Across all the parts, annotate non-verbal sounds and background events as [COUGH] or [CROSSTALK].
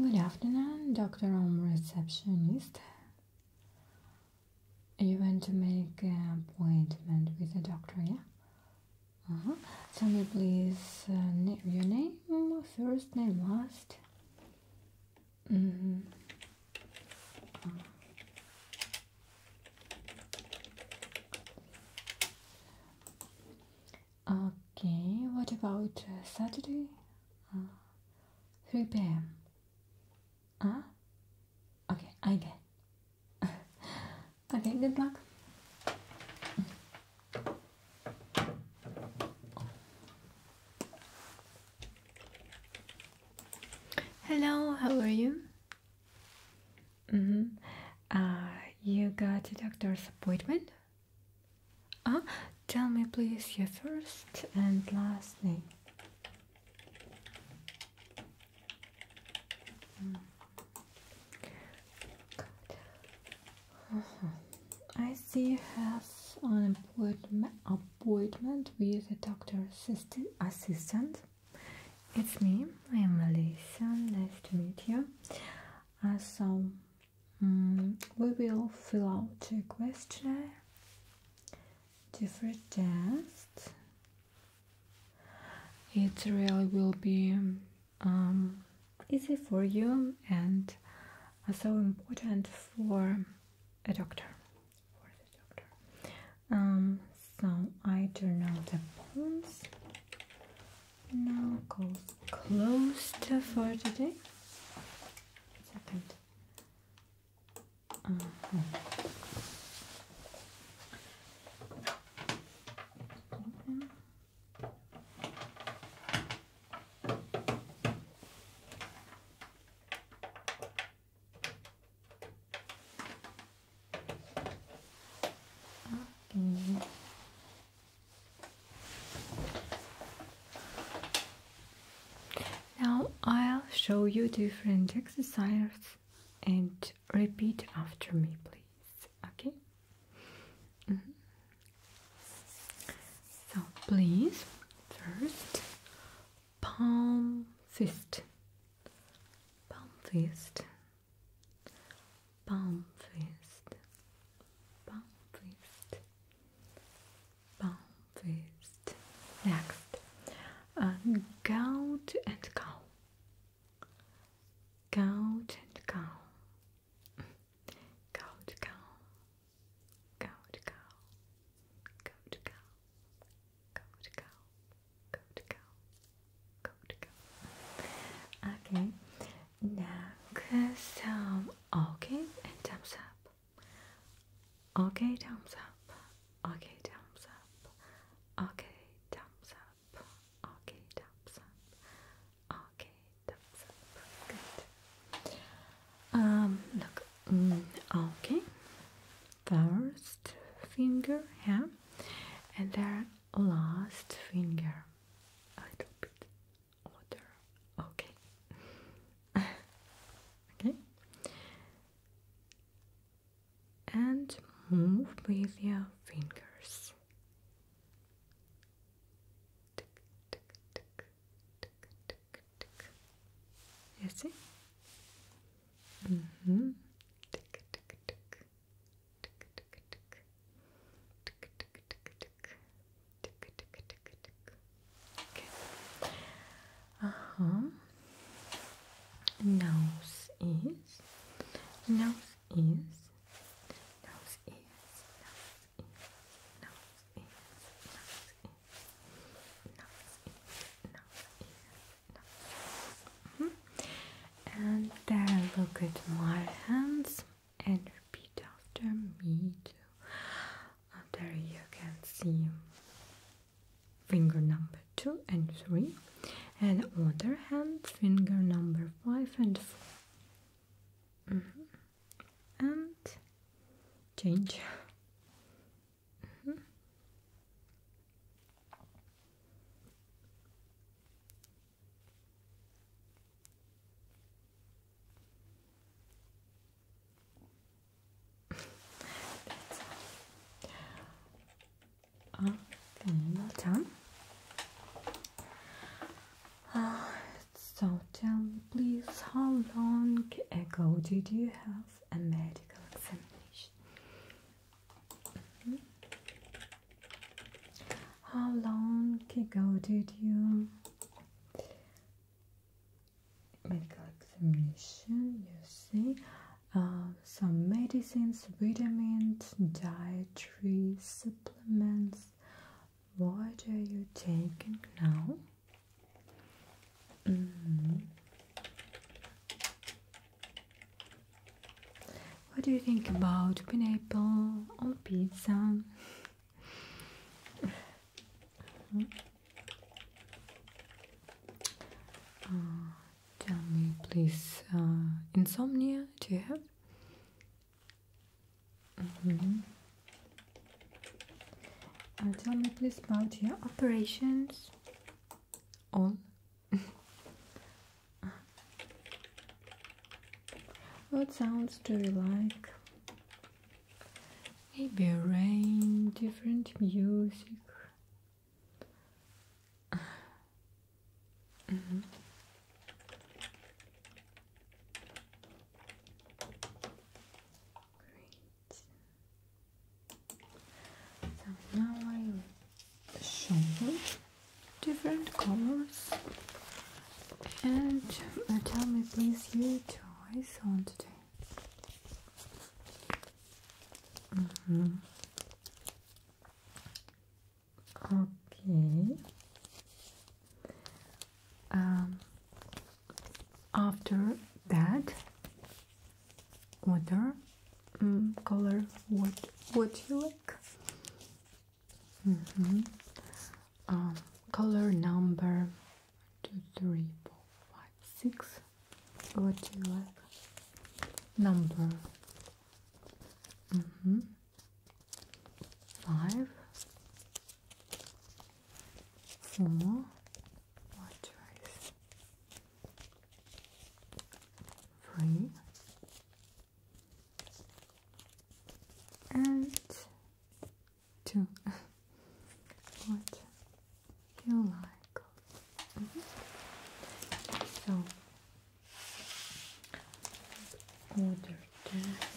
Good afternoon, Dr. Om receptionist. You want to make an appointment with the doctor, yeah? Uh -huh. Tell me, please, uh, your name, first name, last. Mm -hmm. Okay, what about uh, Saturday? Uh, 3 p.m. Ah, okay, I get. [LAUGHS] okay, good luck. Hello, how are you? Mm -hmm. uh, you got a doctor's appointment? Uh, tell me please your first and last name. Mm. I see you have an appointment with a doctor assistant. It's me, I am Alicia, nice to meet you. Uh, so, mm, we will fill out a questionnaire, different tests, it really will be um, easy for you and uh, so important for a doctor. Um, so I turn out the bones. Now goes closed for today. Second. Okay. Now I'll show you different exercises and repeat after me please okay mm-hmm. so please first palm fist palm fist palm fist palm fist palm fist next uh, gout and cow Couch and cow. Couch cow. Couch cow. Couch cow. Couch cow. Couch cow. Couch cow. Okay. Now some um, okay and thumbs up. Okay, thumbs up. Okay, thumbs up. Okay, thumbs up. Okay, thumbs up. Okay, thumbs up. Good. Um, look. Mm, okay. First finger, yeah, and then last finger. A little bit Okay. [LAUGHS] okay and move with your fingers. Tick, tick, tick, Uh-huh nose is, nose is, nose is, nose is, nose is, nose is, nose is, nose is, And look at my hands and repeat after me too. There you can see finger number two and three, and on other hand, finger number five and four. Mm-hmm. And change. Mm-hmm. [LAUGHS] up done. Ah, so tell me please, how long ago did you have a medical examination? Hmm? How long ago did you medical examination? You see uh, some medicines, vitamins, dietary supplements. What are you taking now? Mm What do you think about pineapple on pizza? [LAUGHS] Uh, Tell me, please, uh, insomnia do you have? Mm-hmm. Uh, tell me, please, about your operations. All. [LAUGHS] what sounds do you like? Maybe rain, different music mm -hmm. Great. So now I will show you different colors and uh, tell me please your choice on today. Mm -hmm. Okay. Um, after that, water mm, color. What What you like? Mm -hmm. um, color number two, three, four, five, six. What do you like? Number. Mm -hmm. Five. Four. What choice? Three. And two. [LAUGHS] what? you like. Mm-hmm. So order that.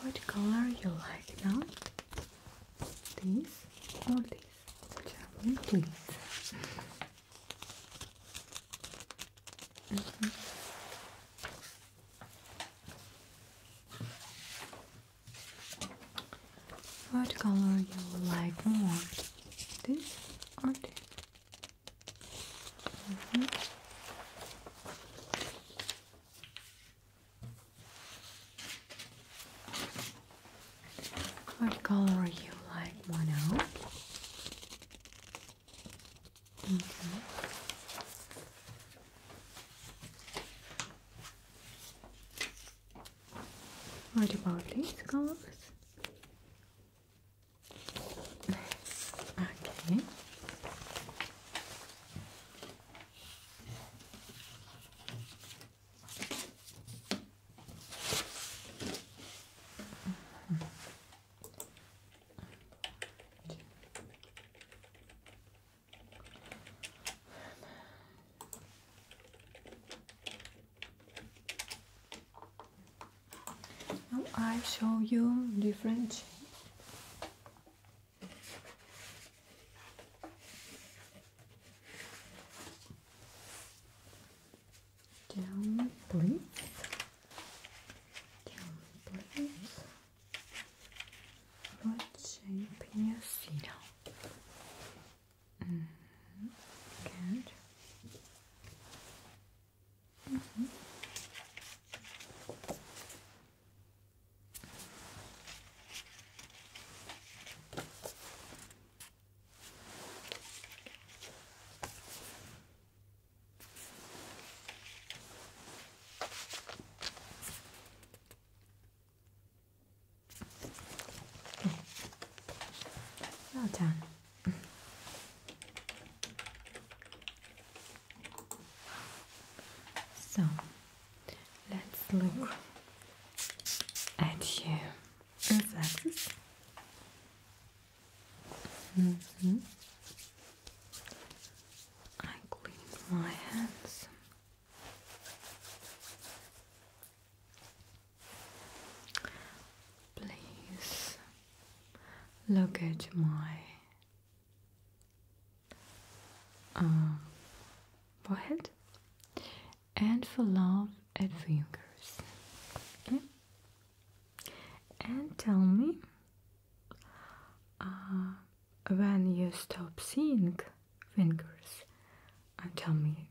What color you like now? This or this? Tell me, please. Mm-hmm. What color you like more? This or this? Mm-hmm. What color you like more now? Okay. about these colors? okay. Now I show you different shape. Down, please. Down, please. What shape in your feet? Mm -hmm. Good. Mm -hmm. Well done. So let's look at you. reflexes. Mm -hmm. I clean my hands. Please look at my uh, forehead and for love, at fingers. Okay? And tell me uh, when you stop seeing fingers uh, tell me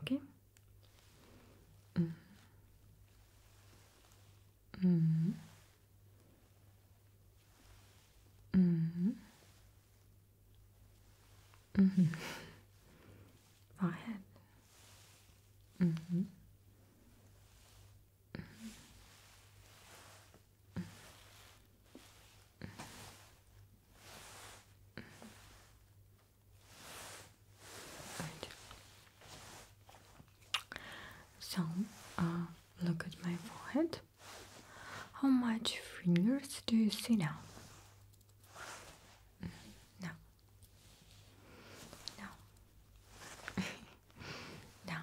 okay mm. Mm. Mm-hmm. Mm. Mm -hmm. Forehead. Mm-hmm. Mm -hmm. Right. So, uh, look at my forehead. How much fingers do you see now? No. No. [LAUGHS] no.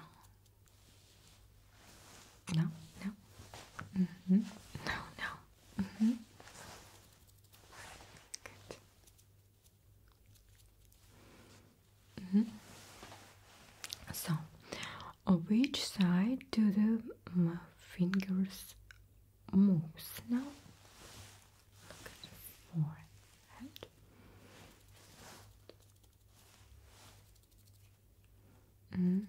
No, no. Mm -hmm. No, no. Mm -hmm. Good. Mm -hmm. So, on which side do the fingers move now? Look at the forehead. Mm.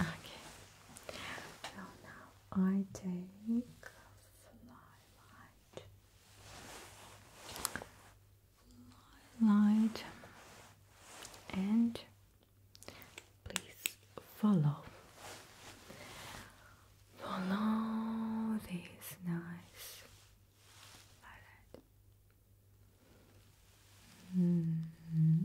Okay. Well, now I take fly light and please follow follow this nice light -hmm. Mm-hmm.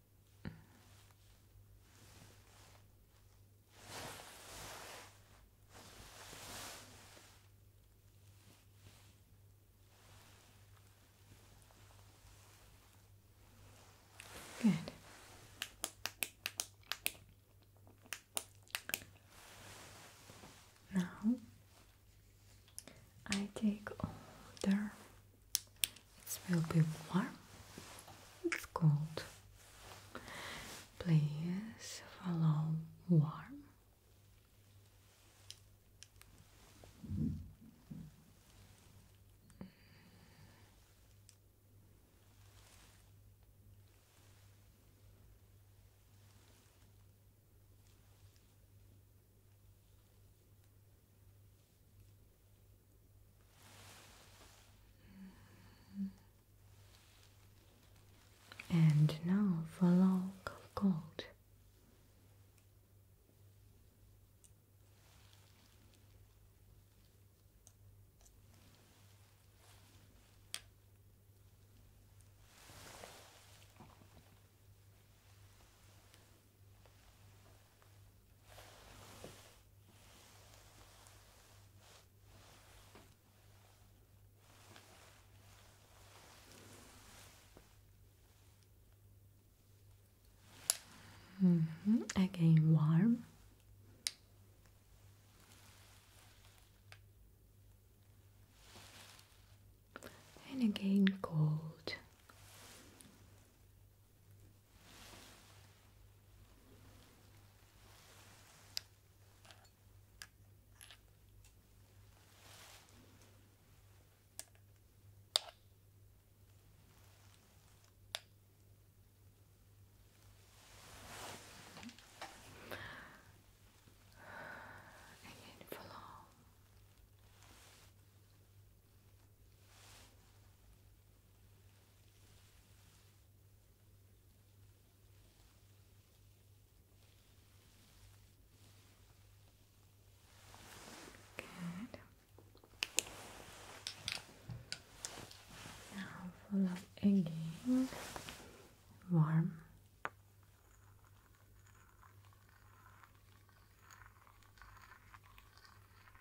Good. Now I take all it will be warm. It's cold. Please follow warm. And now for log of gold. Mm-hmm. Again, warm. And again, cold. Again, follow Good. Now full up again. Warm.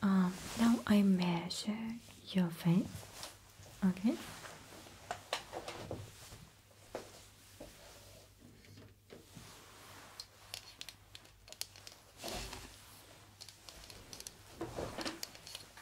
Um, now I measure your vein, okay?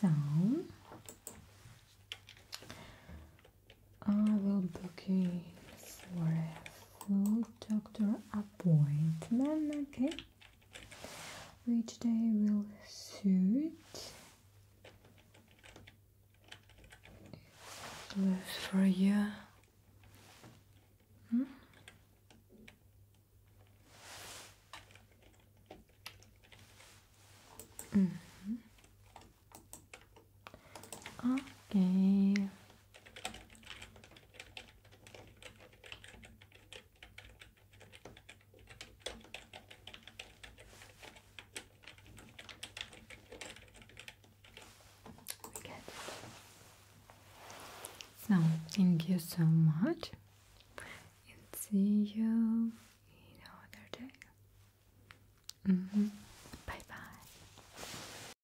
So I will book you for a full doctor appointment, okay? Which day will suit live for a year. Hmm? -hmm. Okay. So, thank you so much. And see you another day. Mm-hmm. Bye bye.